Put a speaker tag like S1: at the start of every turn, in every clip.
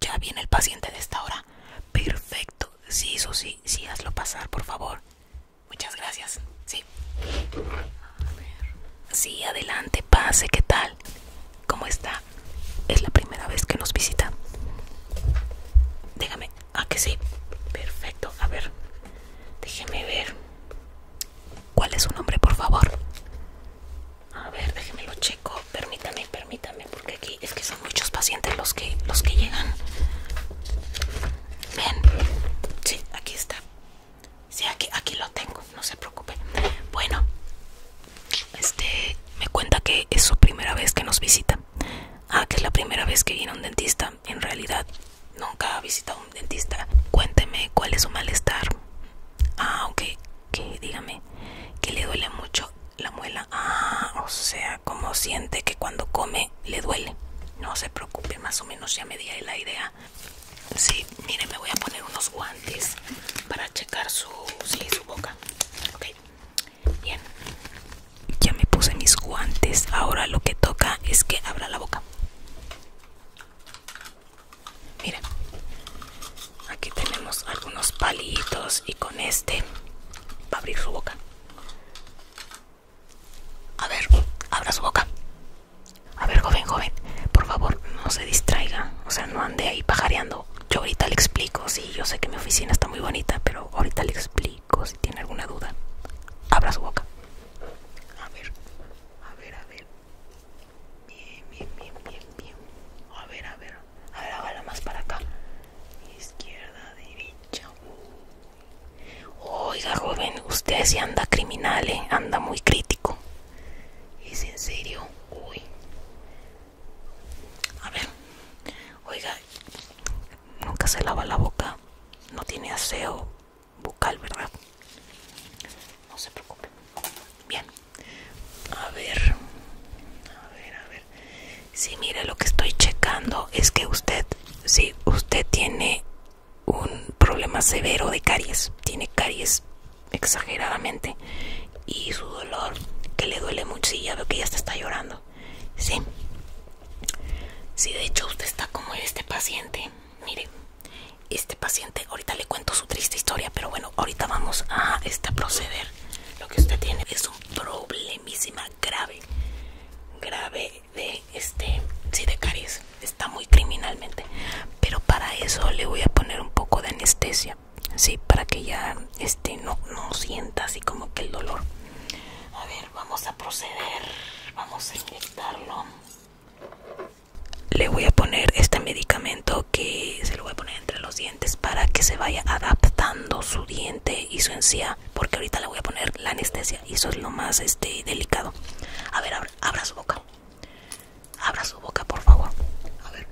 S1: Ya viene el paciente de esta hora. Perfecto. Sí, eso sí, hazlo pasar, por favor. Muchas gracias. Sí. A Sí, adelante, pase, ¿qué tal? ¿Cómo está? Es la primera vez que nos visita. Déjame. Ah, que sí. Perfecto. A ver. Déjeme ver. ¿Cuál es su nombre, por favor? A ver, déjeme lo checo. Permítame, permítame, porque aquí es que son muchos pacientes los que los que llegan. Ven. Sí, aquí está. si, que aquí lo tengo, no se preocupe. Bueno, este me cuenta que es su primera vez que nos visita. Ah, que es la primera vez que viene un dentista. En realidad, nunca ha visitado un dentista. Cuénteme cuál es su malestar. Ah, ok, que dígame que le duele mucho la muela. Ah, o sea, como siente que cuando come le duele. No se preocupe, más o menos ya me di la idea. Sí, mire, me voy a poner unos guantes para checar su, sí, su boca. Ok, Bien, ya me puse mis guantes. Ahora lo que toca es que abra la boca. Mira, aquí tenemos algunos palitos y con este va a abrir su boca. A ver, abra su boca. A ver, joven, joven, por favor, no se distraiga. O sea, no ande ahí pajareando yo ahorita le explico, sí, yo sé que mi oficina está muy bonita, pero ahorita le explico si tiene alguna duda. Abra su boca. A ver, a ver, a ver. Bien, bien, bien, bien, bien. A ver, a ver. A ver, hágala más para acá. Izquierda, derecha. Oiga, joven, usted sí anda criminal, ¿eh? anda muy crítico. ¿Es en serio? Uy. A ver, oiga, nunca se lava la boca, no tiene aseo bucal, ¿verdad? No se preocupe. Bien, a ver, a ver, a ver. Sí, mire, lo que estoy checando es que usted, si usted tiene un problema severo de caries, tiene caries exageradamente y su dolor que le duele mucho y ya veo que ya está llorando sí si de hecho usted está como este paciente mire este paciente ahorita le cuento su triste historia pero bueno ahorita vamos a este proceder lo que usted tiene es un problemísima grave grave de este sí de caries está muy criminalmente pero para eso le voy a poner un poco de anestesia sí para que ya este no, no sienta así como que el dolor a ver vamos a proceder vamos a inyectarlo le voy a poner este medicamento que se lo voy a poner entre los dientes para que se vaya adaptando su diente y su encía porque ahorita le voy a poner la anestesia y eso es lo más este delicado a ver abra su boca Abra su boca, por favor. A ver.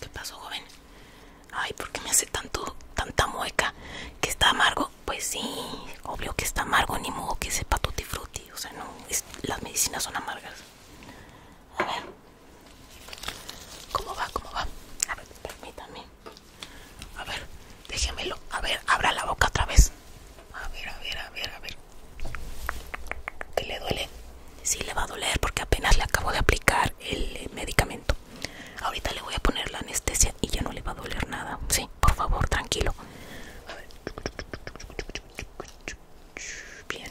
S1: ¿Qué pasó, joven? Ay, ¿por qué me hace tanto, tanta mueca? ¿Que está amargo? Pues sí, obvio que está amargo, ni modo que sepa tutti frutti. O sea, no, las medicinas son amargas. A ver. ¿Cómo va? ¿Cómo va? A ver, permítame. A ver, déjemelo. A ver, abra la boca otra vez. A ver, a ver, a ver, a ver. ¿Qué le duele? Sí, le va a doler porque apenas le acabo de aplicar el eh, medicamento. Ahorita le voy a poner la anestesia y ya no le va a doler nada. Sí, por favor, tranquilo. Bien,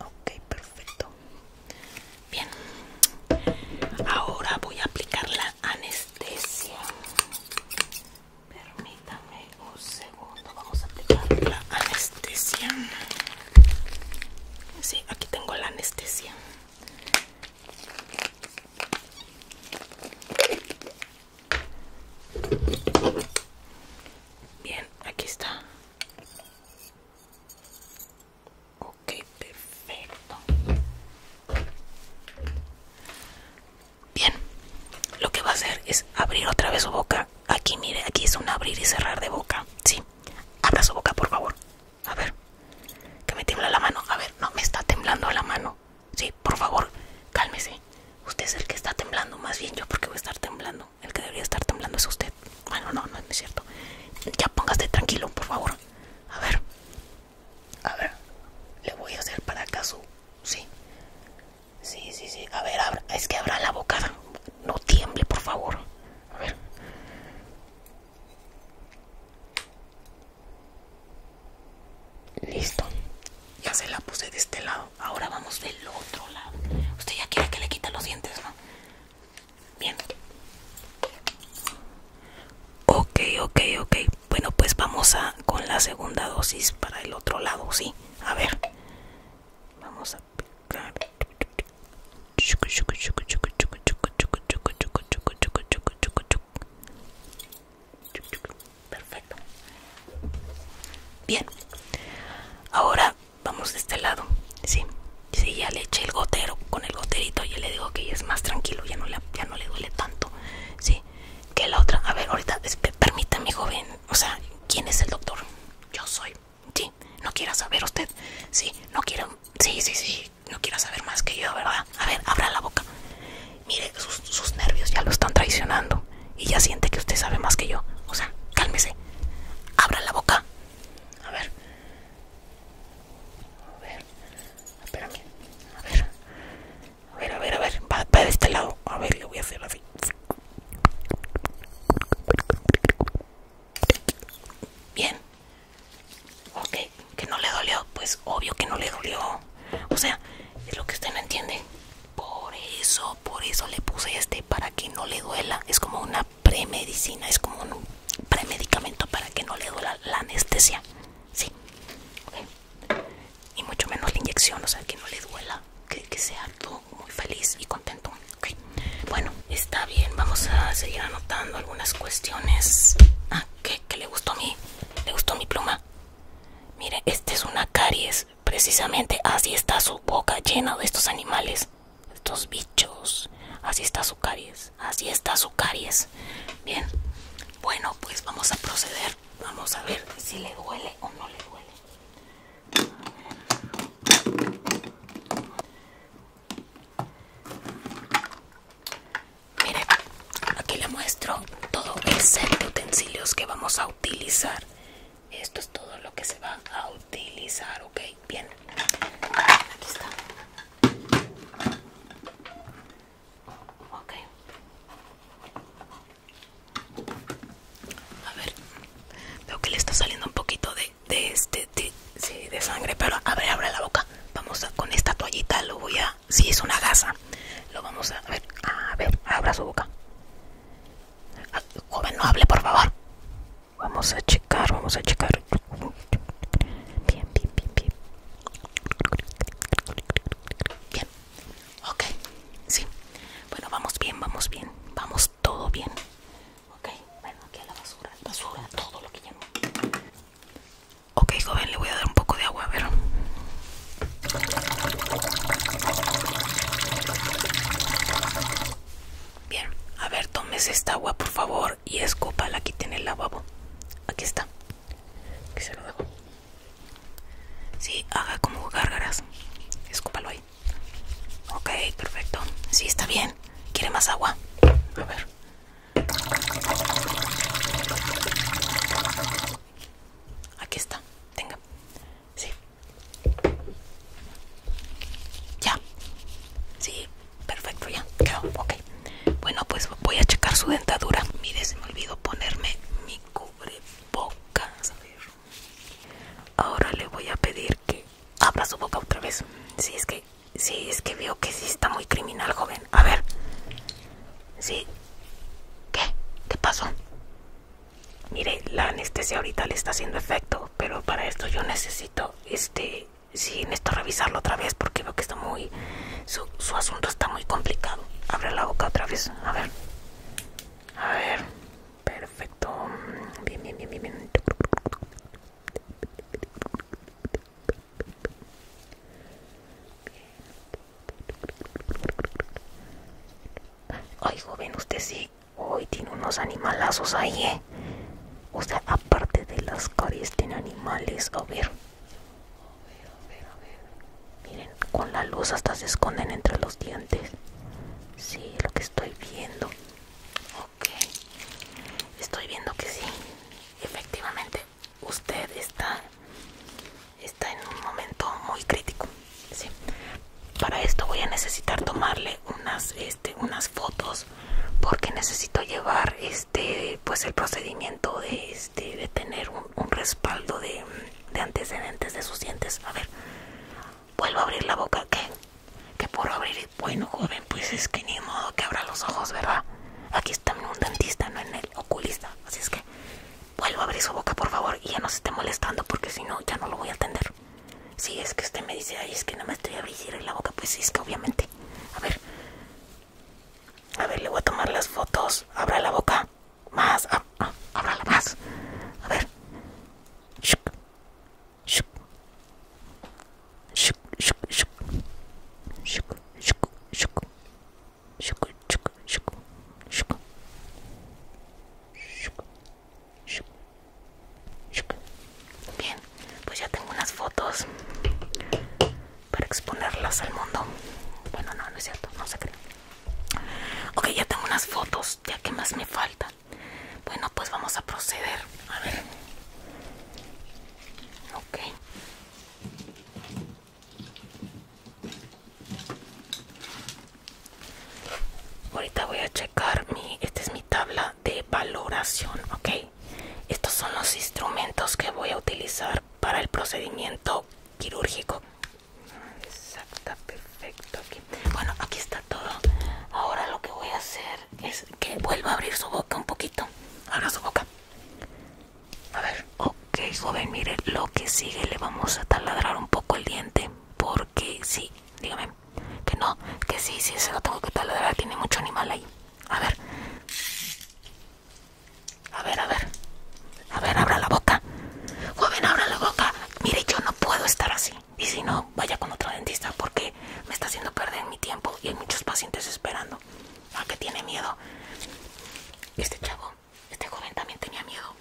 S1: ok, perfecto. Bien, ahora voy a aplicar la anestesia. Permítame un segundo, vamos a aplicar la anestesia. Sí, aquí tengo la anestesia. Bien, aquí está. Ok, perfecto. Bien, lo que va a hacer es abrir otra vez su boca. Aquí, mire, aquí es un abrir y cerrar de boca. Sí, abra su boca, por favor. A ver, que me tiembla la mano. A ver, no, me está temblando la mano. Sí, por favor, cálmese. Usted es el que está temblando, más bien yo porque voy a estar temblando. El que debería estar temblando es usted. Bueno, no, no es cierto. Ya póngase tranquilo, por favor. A ver. A ver. Le voy a hacer para acá Sí. Sí, sí, sí. A ver, es que abra la bocada. No tiemble, por favor. A ver. Listo. Ya se la puse de este lado. Ahora vamos del otro lado. Usted ya quiere que le quita los dientes, ¿no? Bien. Ok, ok, ok. Bueno, pues vamos a con la segunda dosis para el otro lado, ¿sí? A ver. Vamos a picar perfecto bien ahora vamos de este lado sí sí ya le eché el gotero con el goterito y le digo que es más tranquilo ya no le duele tanto sí que la otra a ver ahorita permítame joven o sea quién es el doctor yo soy sí no quiera saber usted sí no quiero sí sí sí no quiera saber más que yo verdad a ver abra la boca mire sus nervios ya lo están traicionando y ya siente que usted sabe más que yo. O sea, cálmese. Abra la boca. A ver. A ver. A ver. A ver, a ver, a ver. Va, va de este lado. A ver, le voy a hacer así. Bien. Ok, que no le dolió. Pues obvio que no le dolió. O sea, es lo que usted no entiende. Por eso, por eso le puse este para que no le duela. Es como una premedicina, es como un premedicamento para que no le duela la anestesia. Sí. Y mucho menos la inyección, o sea, que no le duela. Que, sea todo muy feliz y contento. Bueno, está bien. Vamos a seguir anotando algunas cuestiones. Ah, que, le gustó mí? le gustó mi pluma. Mire, este es una caries. Precisamente así está su boca llena de estos animales, estos bichos. Así está su caries, así está su caries. Bien, bueno, pues vamos a proceder. Vamos a ver si le duele o no le duele. miren, aquí le muestro todo el set de utensilios que vamos a usar utilizar esto es todo lo que se va a utilizar ok bien aquí está ok a ver veo que le está saliendo un poquito de, de este de, de sangre pero abre abre la boca vamos con esta toallita lo voy a si, es una gasa. Lo vamos a, ver, a ver, abra su boca. Ah, joven, no hable, por favor. Vamos a checar, vamos a checar. Bien, bien, bien, bien. Bien, ok, sí. Bueno, vamos bien, vamos bien, vamos todo bien. Ok, bueno, aquí a la basura, basura, todo lo que ya no. Ok, joven, le voy a dar un poco de agua, a ver. Bien, a ver, tomes esta agua por favor y escúpala aquí tiene el lavabo. Aquí está. Sí, haga como gárgaras. Escúpalo ahí. Ok, perfecto. Sí, está bien. ¿Quiere más agua? A ver. Aquí está, tenga. Sí. Ya. Sí, perfecto, ya. Quedó, ok. Bueno, pues voy a checar su dentadura. Mire, se me olvidó ponerme mi cubrebocas. A ver. Ahora le voy a pedir que abra su boca otra vez. Sí, es que, sí, es que veo que sí está muy criminal, joven. A ver. Sí, ¿Qué? ¿Qué pasó? Mire, la anestesia ahorita le está haciendo efecto, pero para esto yo necesito, este, sí, necesito revisarlo otra vez porque veo que está muy, su, su asunto está muy complicado. Abre la boca otra vez, a ver. A ver, perfecto. Bien, bien, bien, bien, bien. Ay, joven, usted sí. Hoy tiene unos animalazos ahí, ¿eh? O sea, aparte de las caries, tiene animales. A ver. Miren, con la luz hasta se esconden entre los dientes. Sí, lo que estoy viendo. Ok. Estoy viendo que sí. Efectivamente, usted está está en un momento muy crítico para esto voy a necesitar tomarle unas este, unas fotos porque necesito llevar este pues el procedimiento de este de tener un, respaldo de, antecedentes de sus dientes a ver vuelvo a abrir la boca que que por abrir bueno joven pues es que ni modo que abra los ojos verdad aquí también un dentista, no en el oculista. Así es que vuelvo a abrir su boca, por favor, y ya no se esté molestando porque si no, ya no lo voy a atender. Si es que usted me dice, ay, es que no me estoy abriendo la boca, pues sí, es que obviamente. A ver, a ver, le voy a tomar las fotos. Abra la boca más, ah, ah, ábrala más. A ver, shuk, shuk, shuk, shuk, shuk, shuk, shuk, Bien, pues ya tengo unas fotos para exponerlas al mundo. Bueno, no, no es cierto, no se cree. Ok, ya tengo unas fotos, ya que más me falta Bueno, pues vamos a proceder. A ver. Ok. Ahorita voy a checar mi, esta es mi tabla de valoración, ¿ok? Estos son los instrumentos que voy a utilizar para el procedimiento quirúrgico. Exacto, perfecto. Bueno, aquí está todo. Ahora lo que voy a hacer es que vuelva a abrir su boca un poquito. Abra su boca. A ver, ok joven, mire, lo que sigue le vamos a taladrar un poco el diente porque sí, dígame, que no, que sí, sí, se lo tengo que taladrar, tiene mucho animal ahí. A ver, a ver, a ver, a ver, abra la boca. Joven, abra la boca. Mire, yo no puedo estar así. Y si no, vaya con otro dentista porque me está haciendo perder mi tiempo y hay muchos pacientes esperando a ah, que tiene miedo. Este chavo, este joven también tenía miedo.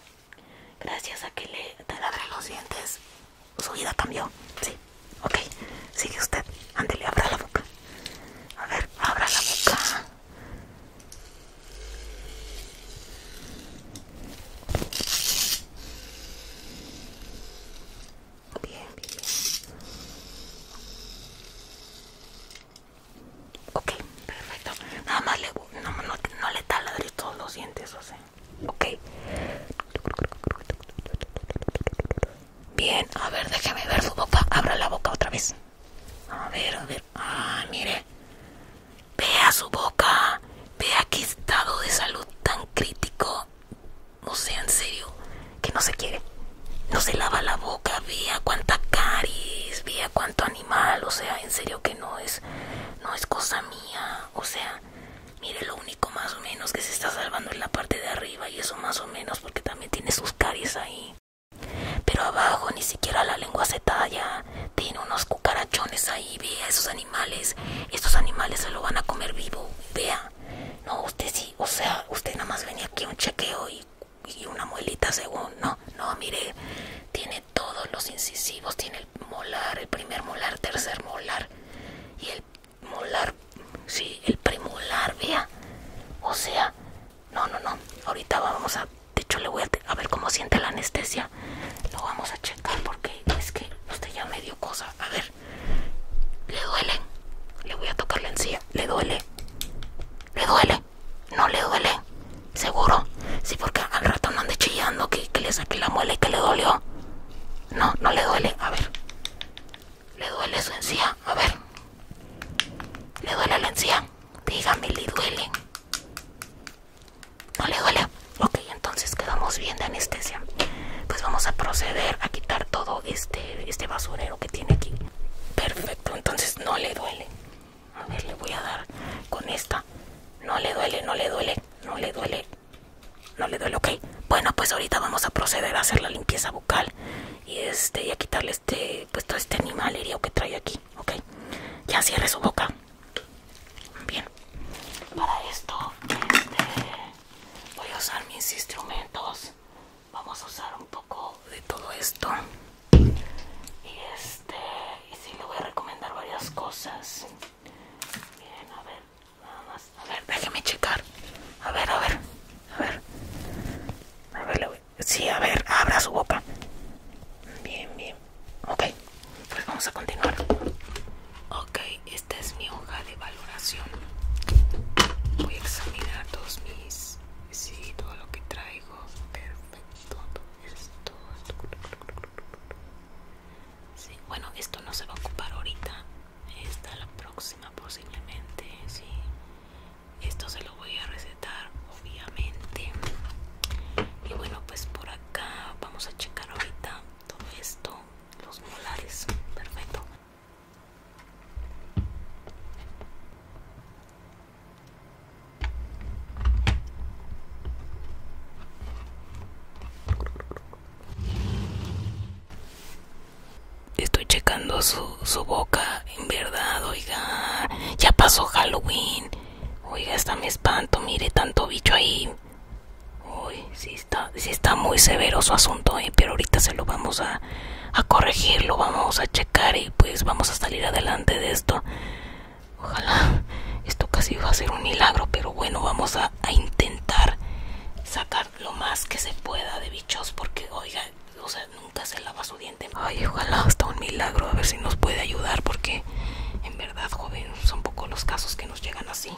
S1: Gracias a que le abre los dientes, su vida cambió. Sí, ok. Sigue usted. Ándele, abra la boca. A ver, abra la boca. bien, bien. Ok, perfecto. Nada más le, no, le taladre todos los dientes, o sea. Ok. Bien, a ver, déjame ver su boca. Abra la boca otra vez. A ver, a ver. Ah, mire. Vea su boca. Vea qué estado de salud tan crítico. No sé, en serio que no se quiere. No se lava la boca, vea cuánta caries, vea cuánto animal, o sea, en serio que no es, no es cosa mía, o sea, mire lo único más o menos que se está salvando en la parte de arriba y eso más o menos porque también tiene sus caries ahí. Pero abajo ni siquiera la lengua se talla, tiene unos cucarachones ahí, vea esos animales, estos animales se lo van a comer vivo, vea. No, usted sí, o sea, usted nada más venía aquí a un chequeo y y una muelita según, no, no, mire, tiene todos los incisivos, tiene el molar, el primer molar, tercer molar y el molar, sí, el premolar, vea, o sea, no, no, no, ahorita vamos a, de hecho le voy a, a ver cómo siente la anestesia, lo vamos a checar porque es que usted ya me dio cosa, a ver, le duelen le voy a tocar la encía, le duele, ¿Le duele? No le duele. ¿Seguro? Sí, porque al rato no ande chillando que, le saqué la muela y que le dolió. No, no le duele. A ver. ¿Le duele su encía? A ver. ¿Le duele la encía? Dígame, ¿le duele? ¿No le duele? Ok, entonces quedamos bien de anestesia. Pues vamos a proceder a quitar todo este, este basura que tiene aquí. Perfecto, entonces no le duele. A ver, le voy a dar con esta. No le duele, no le duele, no le duele. No le duele, ok. Bueno, pues ahorita vamos a proceder a hacer la limpieza bucal y este y a quitarle este pues todo este animal herido que trae aquí, ok. Ya cierre su boca. Bien. Para esto este, voy a usar mis instrumentos vamos a usar un poco de todo esto y este y sí le voy a recomendar varias cosas bien a ver nada más a ver déjeme checar a ver a ver a ver a ver sí a ver abra su boca bien bien ok pues vamos a continuar ok esta es mi hoja de voy a examinar todos mis sí todo lo que traigo perfecto esto sí, bueno esto no se va a ocupar ahorita esta la próxima posiblemente sí esto se lo voy a recetar obviamente y bueno pues por acá vamos a checar ahorita todo esto los molares perfecto Estoy checando su, boca, en verdad, oiga. Ya pasó Halloween. Oiga, está me espanto, mire tanto bicho ahí. Uy, sí, está, sí está muy severo su asunto, eh, pero ahorita se lo vamos a, corregir, lo vamos a checar y pues vamos a salir adelante de esto. Ojalá esto casi va a ser un milagro, pero bueno, vamos a, a intentar sacar lo más que se pueda de bichos porque, oiga, o sea, nunca se lava su diente. Ay, ojalá hasta un milagro, a ver si nos puede ayudar porque en verdad, joven, son pocos los casos que nos llegan así.